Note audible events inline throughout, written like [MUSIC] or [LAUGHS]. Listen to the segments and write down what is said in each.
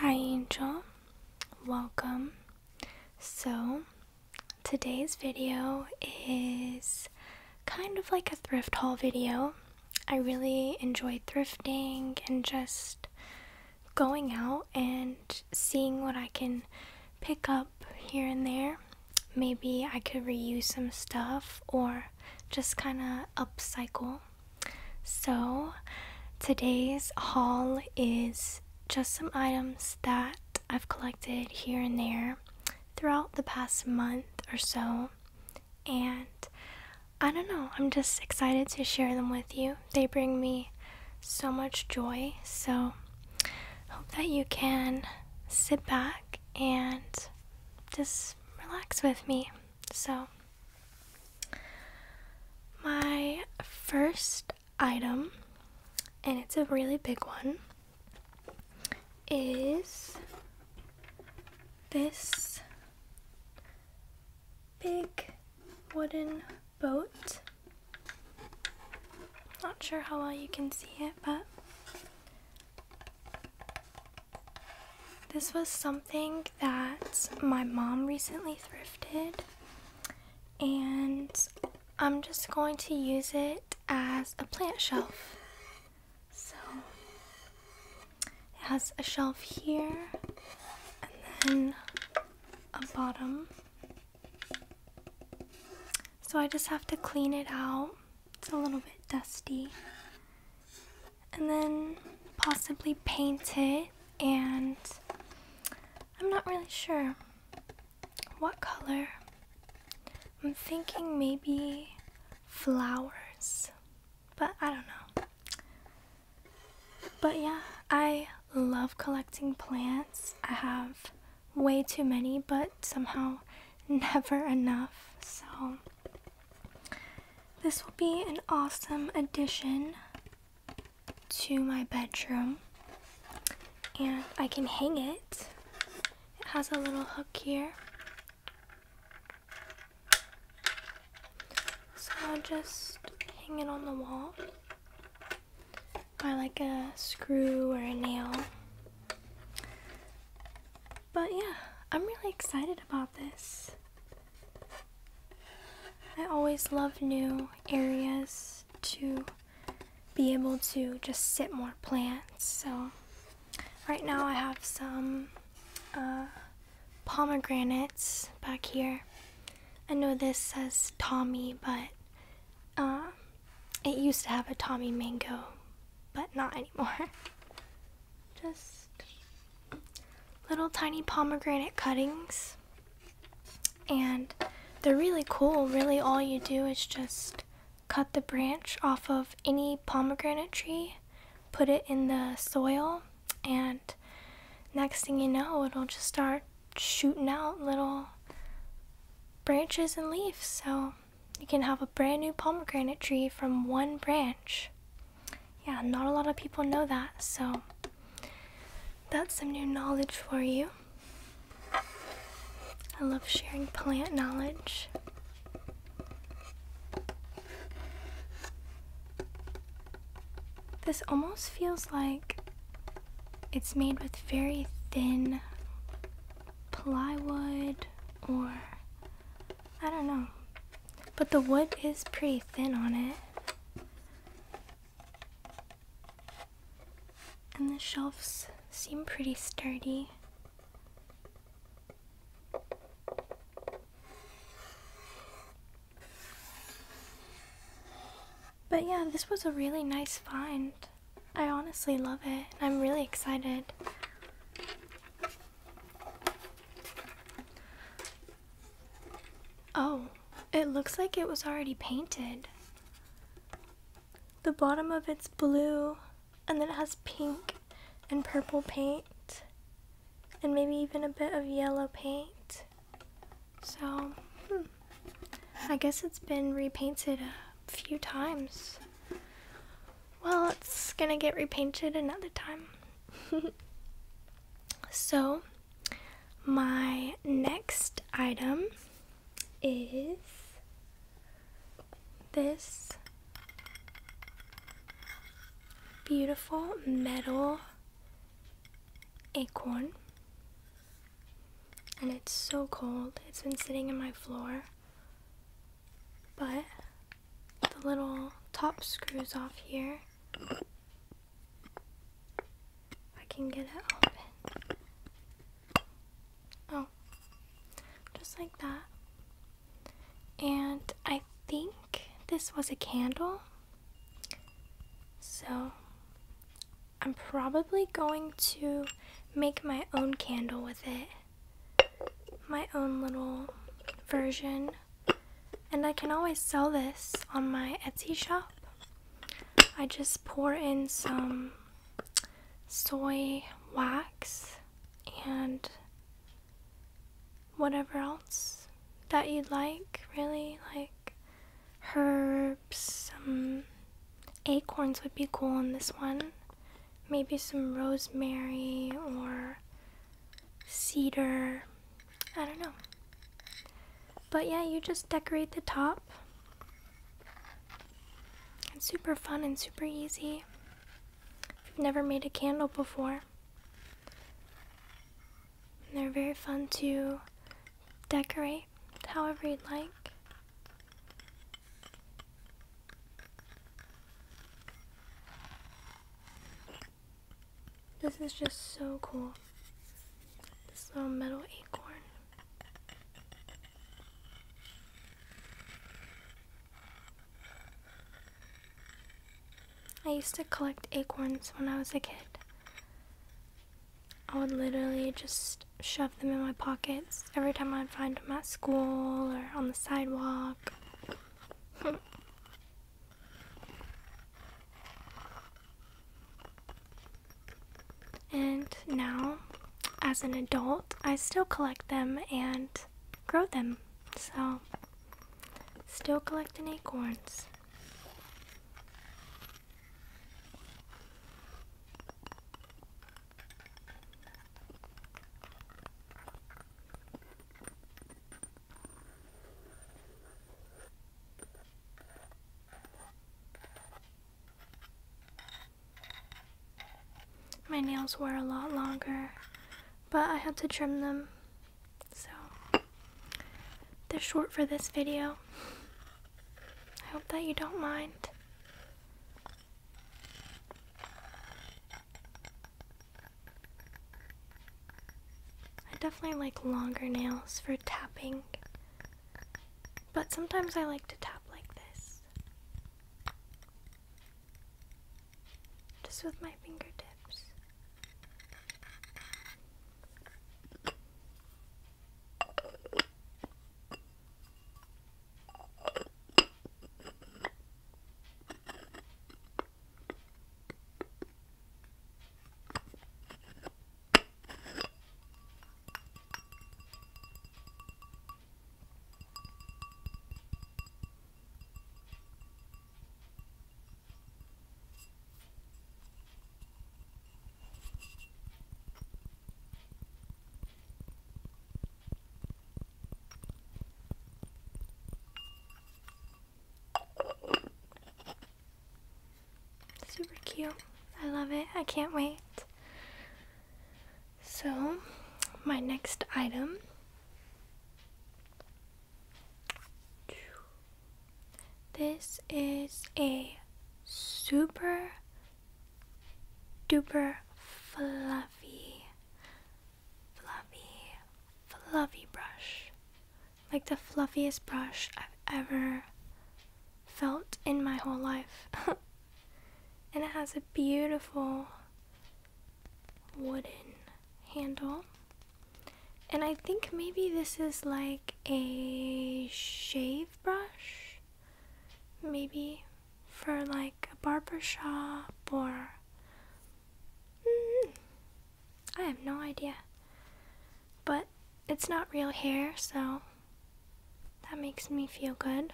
Hi, Angel. Welcome. So, today's video is kind of like a thrift haul video. I really enjoy thrifting and just going out and seeing what I can pick up here and there. Maybe I could reuse some stuff or just kind of upcycle. So, today's haul is just some items that I've collected here and there throughout the past month or so and I don't know, I'm just excited to share them with you. They bring me so much joy, so hope that you can sit back and just relax with me. So, my first item, and it's a really big one, is this big wooden boat. Not sure how well you can see it, but this was something that my mom recently thrifted, and I'm just going to use it as a plant shelf. So it has a shelf here and then a bottom. So I just have to clean it out. It's a little bit dusty. And then possibly paint it and I'm not really sure what color. I'm thinking maybe flowers but I don't know. But yeah, I love collecting plants. I have way too many, but somehow [LAUGHS] never enough. So, this will be an awesome addition to my bedroom. And I can hang it. It has a little hook here so I'll just hang it on the wall by like a screw or a nail. But yeah, I'm really excited about this. I always love new areas to be able to just sit more plants. So right now I have some uh, pomegranates back here. I know this says Tommy, but um, it used to have a Tommy mango, but not anymore. [LAUGHS] Just little tiny pomegranate cuttings. And they're really cool. Really, all you do is just cut the branch off of any pomegranate tree put it in the soil, and next thing you know, it'll just start shooting out little branches and leaves. So you can have a brand new pomegranate tree from one branch. Yeah, not a lot of people know that, so that's some new knowledge for you. I love sharing plant knowledge. This almost feels like it's made with very thin plywood or I don't know. But the wood is pretty thin on it. And the shelves seem pretty sturdy. But yeah, this was a really nice find. I honestly love it. I'm really excited. Oh, it looks like it was already painted. The bottom of it's blue, and then it has pink and purple paint and maybe even a bit of yellow paint. So, hmm, I guess it's been repainted a few times. Well, it's gonna get repainted another time. [LAUGHS] so, my next item is this beautiful metal acorn. And it's so cold. It's been sitting in my floor. But the little top screws off here. I can get it open. Oh, just like that. And I think this was a candle. So I'm probably going to make my own candle with it. My own little version. And I can always sell this on my Etsy shop. I just pour in some soy wax and whatever else that you'd like, really. Like herbs, some acorns would be cool in this one. Maybe some rosemary or cedar. I don't know. But yeah, you just decorate the top. It's super fun and super easy. If have never made a candle before they're very fun to decorate however you'd like. This is just so cool. This little metal acorn. I used to collect acorns when I was a kid. I would literally just shove them in my pockets every time I'd find them at school or on the sidewalk. [LAUGHS] and now, as an adult, I still collect them and grow them. So Still collecting acorns. My nails were a lot longer, but I had to trim them so, they're short for this video. I hope that you don't mind. I definitely like longer nails for tapping, but sometimes I like to tap like this just with my fingertips. Super cute. I love it. I can't wait. So, my next item this is a super duper fluffy, fluffy, fluffy brush. Like the fluffiest brush I've ever felt in my whole life. [LAUGHS] and it has a beautiful wooden handle and I think maybe this is like a shave brush. Maybe for like a barber shop or. Mm, I have no idea. But it's not real hair, so that makes me feel good.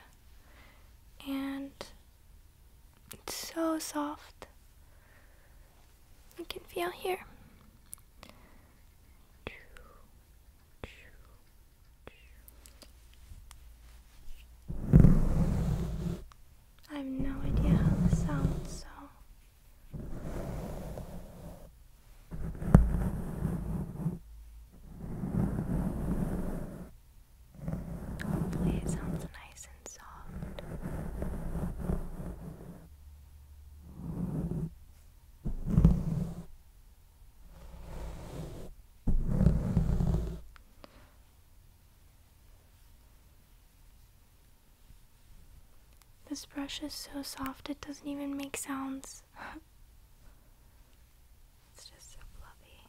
And it's so soft. You can feel here. I have no idea how this sounds, so hopefully sounds nice this brush is so soft it doesn't even make sounds. [LAUGHS] it's just so fluffy.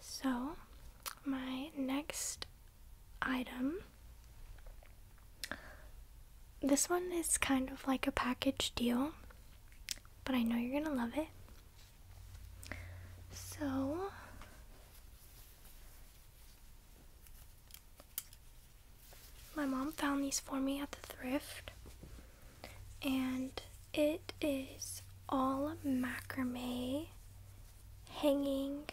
So, my next item. This one is kind of like a package deal, but I know you're gonna love it. So, my mom found these for me at the thrift, and it is all macrame hanging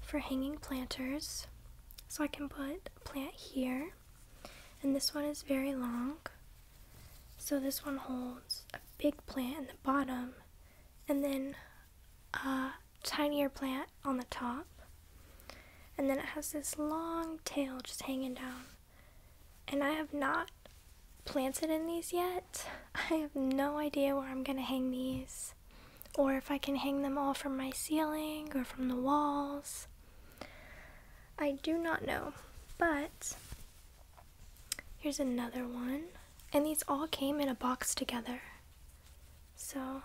for hanging planters. So I can put a plant here, and this one is very long. So this one holds a big plant in the bottom, and then a tinier plant on the top. And then it has this long tail just hanging down. And I have not planted in these yet. [LAUGHS] I have no idea where I'm going to hang these. Or if I can hang them all from my ceiling or from the walls. I do not know. But here's another one. And these all came in a box together. So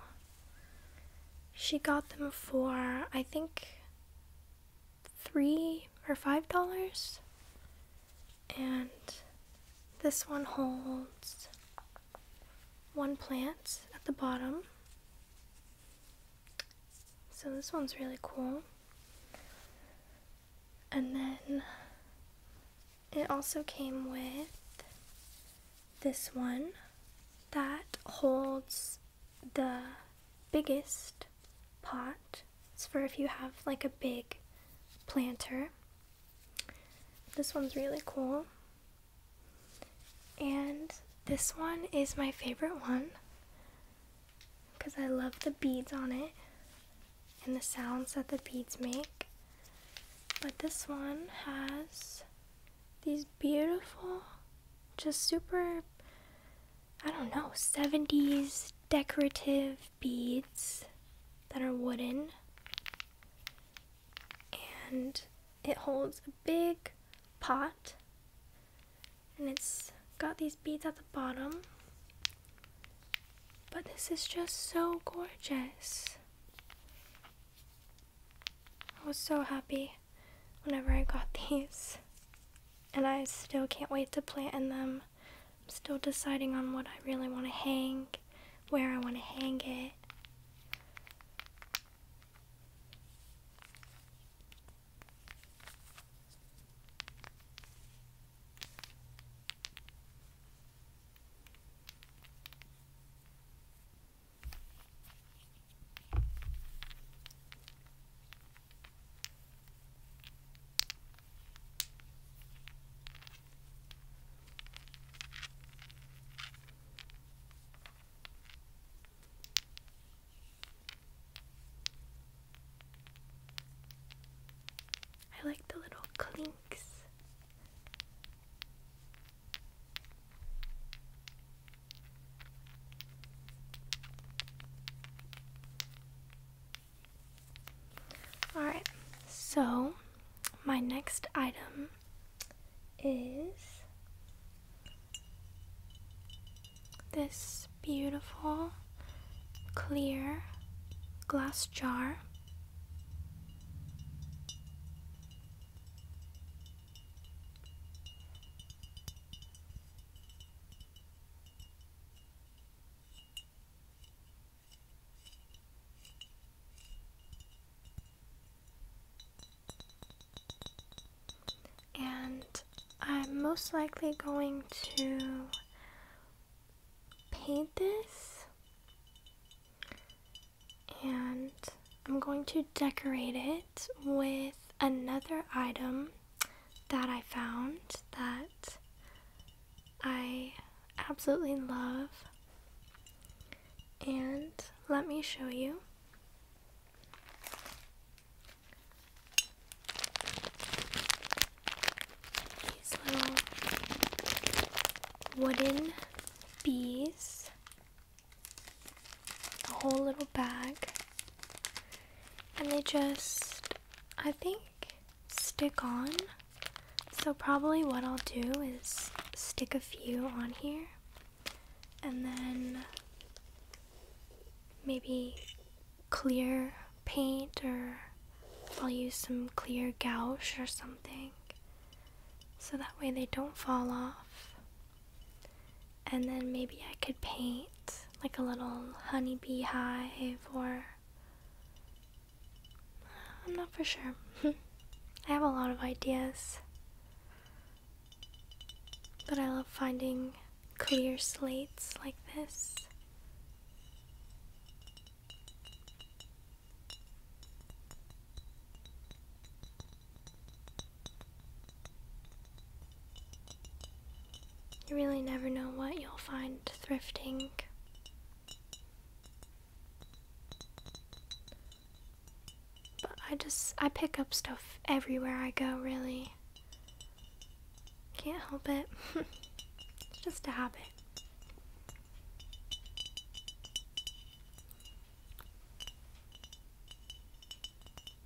she got them for, I think, three or five dollars. And this one holds one plant at the bottom. So this one's really cool. And then it also came with this one that holds the biggest pot. It's for if you have like a big planter. This one's really cool. And this one is my favorite one because I love the beads on it and the sounds that the beads make. But this one has these beautiful, just super, I don't know, 70s decorative beads that are wooden. And it holds a big pot. And it's got these beads at the bottom. But this is just so gorgeous. I was so happy whenever I got [LAUGHS] these, and I still can't wait to plant in them. I'm still deciding on what I really want to hang, where I want to hang it. I like the little clinks all right, so my next item is this beautiful clear glass jar. And I'm most likely going to paint this and I'm going to decorate it with another item that I found that I absolutely love. And let me show you. These little wooden bees the whole little bag and they just I think stick on so probably what I'll do is stick a few on here and then maybe clear paint or I'll use some clear gouache or something so that way they don't fall off and then maybe I could paint like a little honeybee hive, or. I'm not for sure. [LAUGHS] I have a lot of ideas. But I love finding clear slates like this. You really never know what you'll find thrifting. But I just, I pick up stuff everywhere I go, really. Can't help it. [LAUGHS] it's just a habit.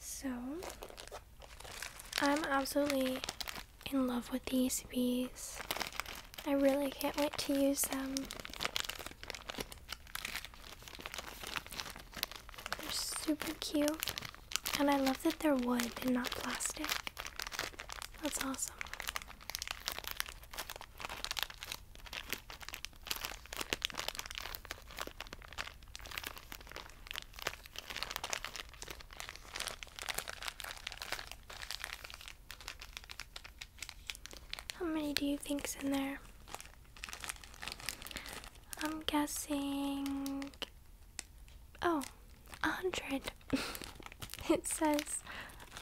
So, I'm absolutely in love with these bees. I really can't wait to use them. They're super cute. And I love that they're wood and not plastic. That's awesome. How many do you think's in there? I'm guessing. Oh, a hundred. [LAUGHS] it says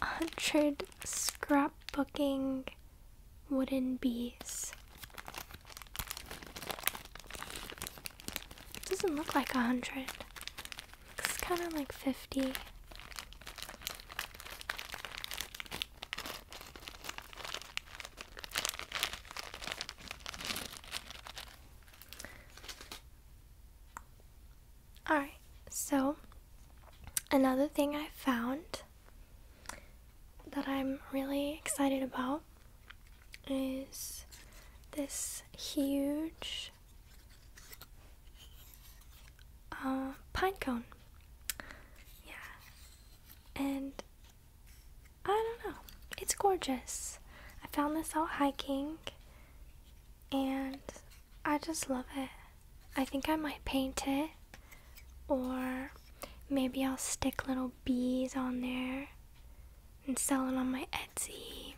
a hundred scrapbooking wooden bees. doesn't look like a hundred. Looks kind of like fifty. Alright, so another thing I found that I'm really excited about is this huge uh, pine cone. Yeah. And I don't know. It's gorgeous. I found this out hiking and I just love it. I think I might paint it or maybe I'll stick little bees on there and sell it on my Etsy.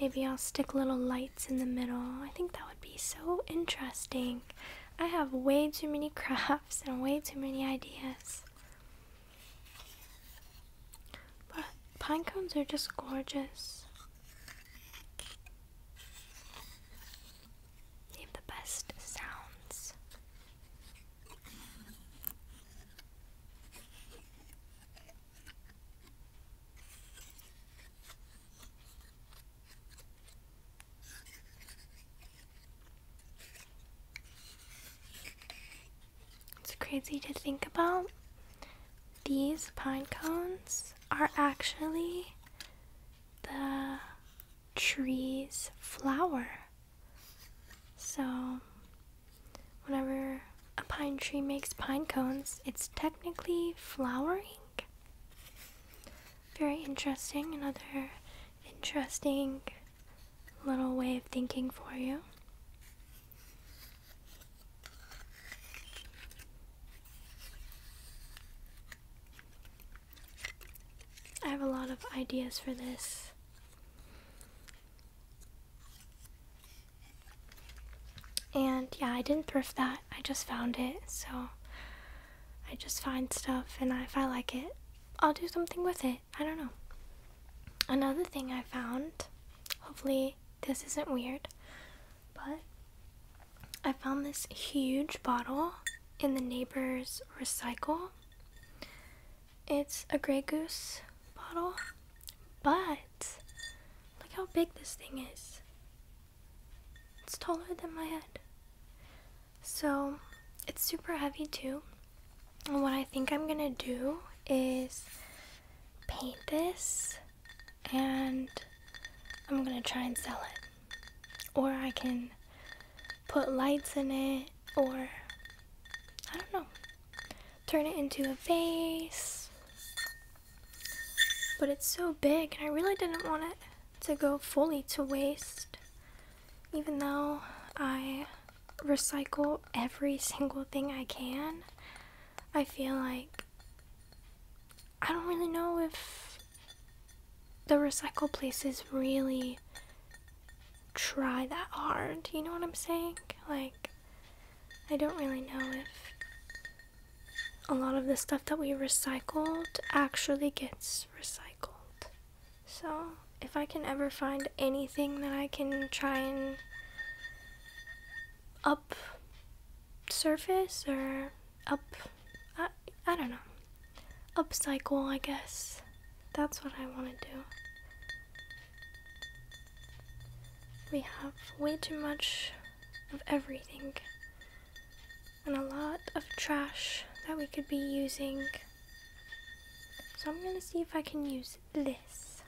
Maybe I'll stick little lights in the middle. I think that would be so interesting. I have way too many [LAUGHS] crafts and way too many ideas. But pine cones are just gorgeous. Name the best sounds. It's crazy to think about. These pine cones are actually the trees flower. So, whenever a pine tree makes pine cones, it's technically flowering. Very interesting. Another interesting little way of thinking for you. I have a lot of ideas for this. And yeah, I didn't thrift that. I just found it. So I just find stuff and if I like it, I'll do something with it. I don't know. Another thing I found, hopefully this isn't weird, but I found this huge bottle in the neighbor's recycle. It's a Grey Goose bottle, but look how big this thing is. It's taller than my head. So it's super heavy too. And what I think I'm gonna do is paint this and I'm gonna try and sell it or I can put lights in it, or I don't know, turn it into a vase. But it's so big, and I really didn't want it to go fully to waste, even though I recycle every single thing I can. I feel like I don't really know if the recycle places really try that hard. You know what I'm saying? Like, I don't really know if a lot of the stuff that we recycle actually gets recycled. So, if I can ever find anything that I can try and up surface or up I, I don't know. Upcycle, I guess. That's what I want to do. We have way too much of everything and a lot of trash that we could be using. So I'm gonna see if I can use this.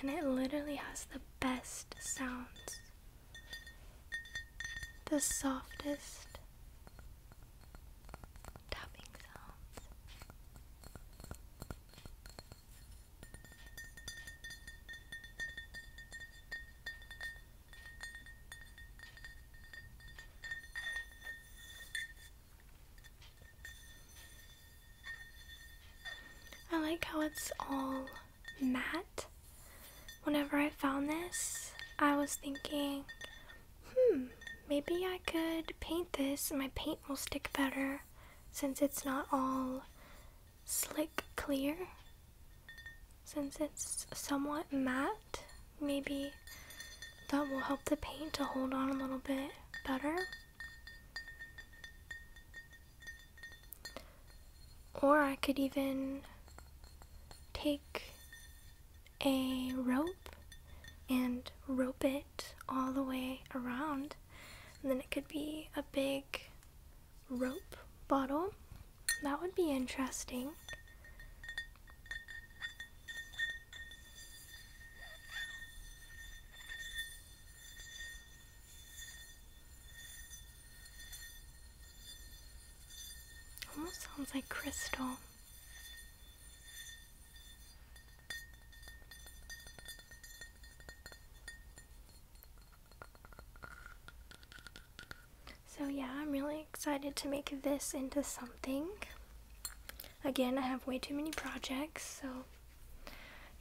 And it literally has the best sounds the softest tapping sounds. I like how it's all matte Whenever I found this, I was thinking, hmm, maybe I could paint this my paint will stick better since it's not all slick clear. Since it's somewhat matte, maybe that will help the paint to hold on a little bit better. Or I could even take a rope and rope it all the way around. then it could be a big rope bottle. That would be interesting. Almost sounds like crystal. So yeah, I'm really excited to make this into something. Again, I have way too many projects, so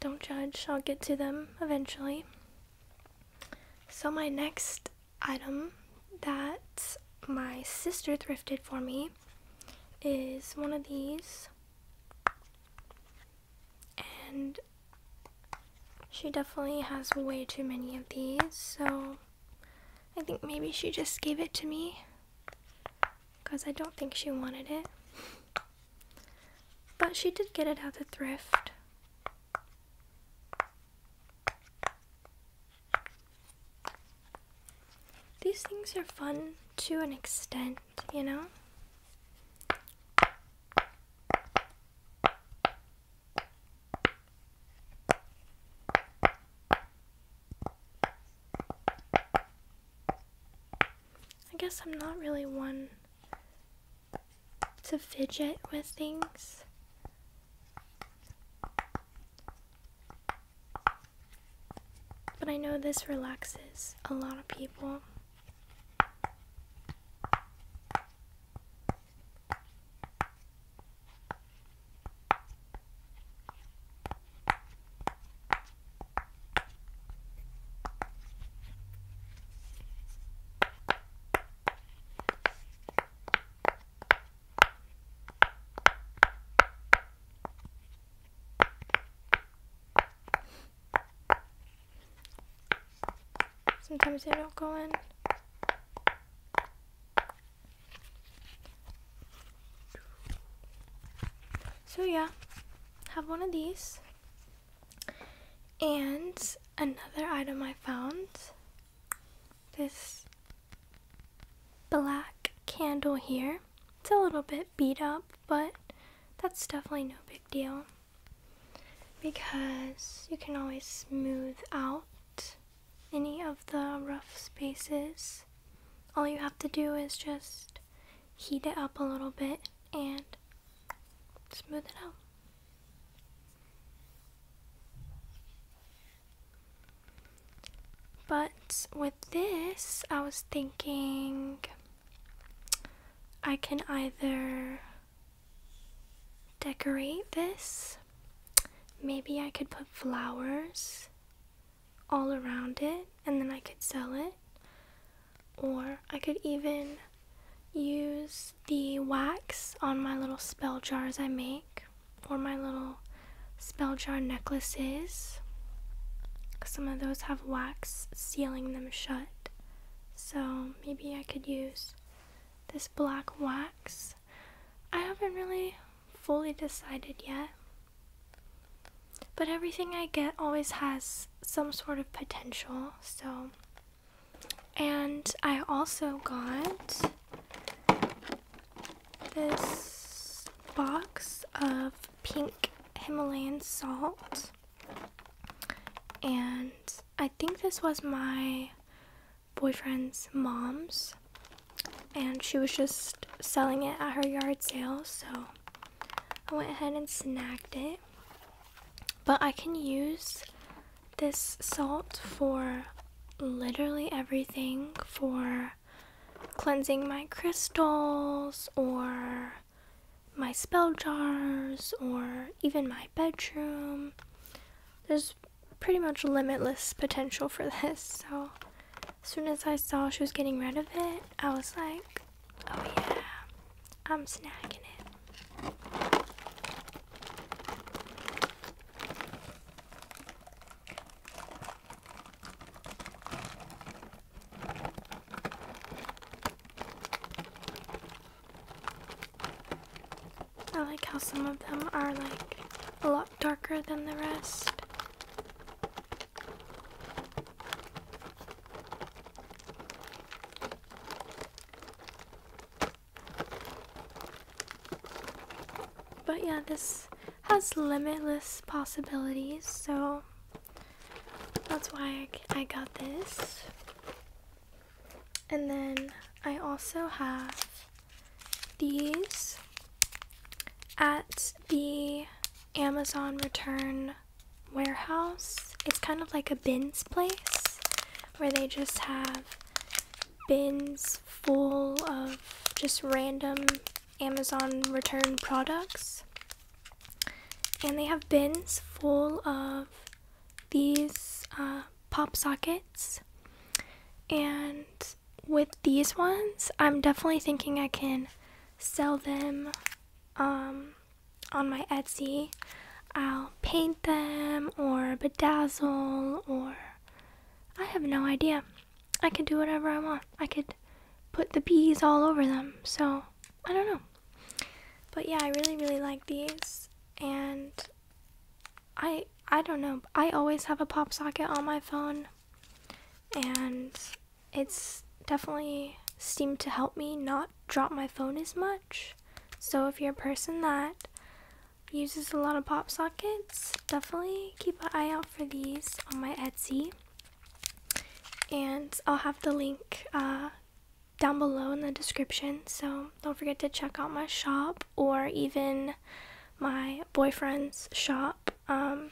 don't judge. I'll get to them eventually. So my next item that my sister thrifted for me is one of these. And she definitely has way too many of these, so I think maybe she just gave it to me because I don't think she wanted it. But she did get it at the thrift. These things are fun to an extent, you know? I guess I'm not really one to fidget with things. But I know this relaxes a lot of people. Sometimes they don't go in. So yeah, have one of these. And another item I found this black candle here. It's a little bit beat up, but that's definitely no big deal because you can always smooth out any of the rough spaces. All you have to do is just heat it up a little bit and smooth it out. But with this, I was thinking I can either decorate this, maybe I could put flowers all around it and then I could sell it, or I could even use the wax on my little spell jars I make for my little spell jar necklaces. Some of those have wax sealing them shut. So maybe I could use this black wax. I haven't really fully decided yet. But everything I get always has some sort of potential, so. And I also got this box of pink Himalayan salt. And I think this was my boyfriend's mom's. And she was just selling it at her yard sale, so I went ahead and snagged it. But I can use this salt for literally everything for cleansing my crystals or my spell jars or even my bedroom. There's pretty much limitless potential for this. So, as soon as I saw she was getting rid of it, I was like, oh yeah, I'm snagging it. I like how some of them are like a lot darker than the rest. But yeah, this has limitless possibilities, so that's why I, got this. And then I also have these at the Amazon return warehouse. It's kind of like a bins place where they just have bins full of just random Amazon return products. And they have bins full of these uh, pop sockets. And with these ones, I'm definitely thinking I can sell them um, on my Etsy. I'll paint them or bedazzle or I have no idea. I could do whatever I want. I could put the bees all over them. So, I don't know. But yeah, I really really like these and I I don't know. I always have a pop socket on my phone and it's definitely seemed to help me not drop my phone as much. So if you're a person that uses a lot of pop sockets. Definitely keep an eye out for these on my Etsy. And I'll have the link uh, down below in the description. So don't forget to check out my shop or even my boyfriend's shop, um,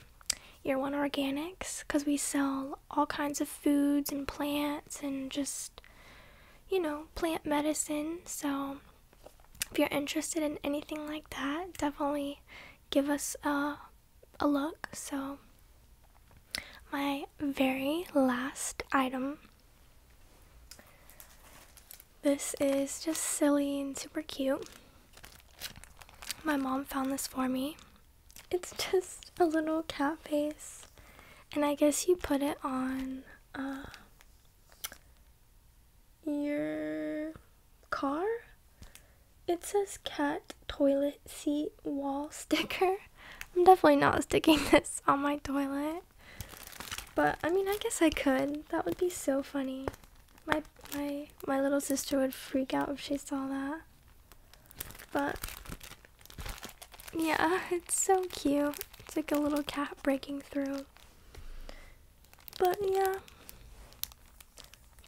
Year One Organics, because we sell all kinds of foods and plants and just, you know, plant medicine. So if you're interested in anything like that, definitely give us a, a look. So, my very last item. This is just silly and super cute. My mom found this for me. It's [LAUGHS] just a little cat face. And I guess you put it on uh, your car? It says cat toilet seat wall [LAUGHS] sticker. I'm definitely not sticking this on my toilet. But I mean, I guess I could. That would be so funny. My my my little sister would freak out if she saw that. But yeah, [LAUGHS] it's so cute. It's like a little cat breaking through. But yeah,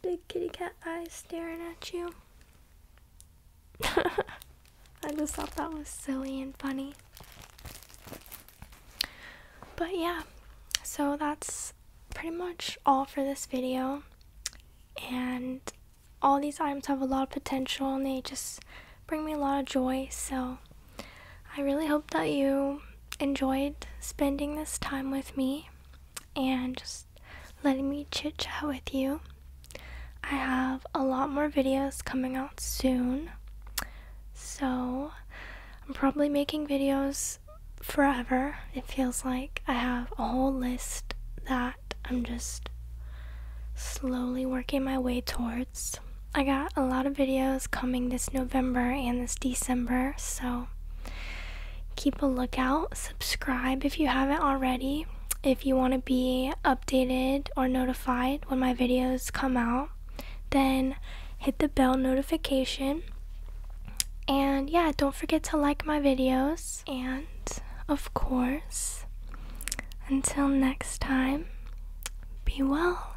big kitty cat eyes staring at you. [LAUGHS] I just thought that was silly and funny. But yeah, so that's pretty much all for this video. And all these items have a lot of potential and they just bring me a lot of joy. So I really hope that you enjoyed spending this time with me and just letting me chit chat with you. I have a lot more videos coming out soon, so I'm probably making videos forever. It feels like I have a whole list that I'm just slowly working my way towards. I got a lot of videos coming this November and this December, so keep a lookout. Subscribe if you haven't already, if you want to be updated or notified when my videos come out. Then hit the bell notification. And yeah, don't forget to like my videos. And of course, until next time, be well.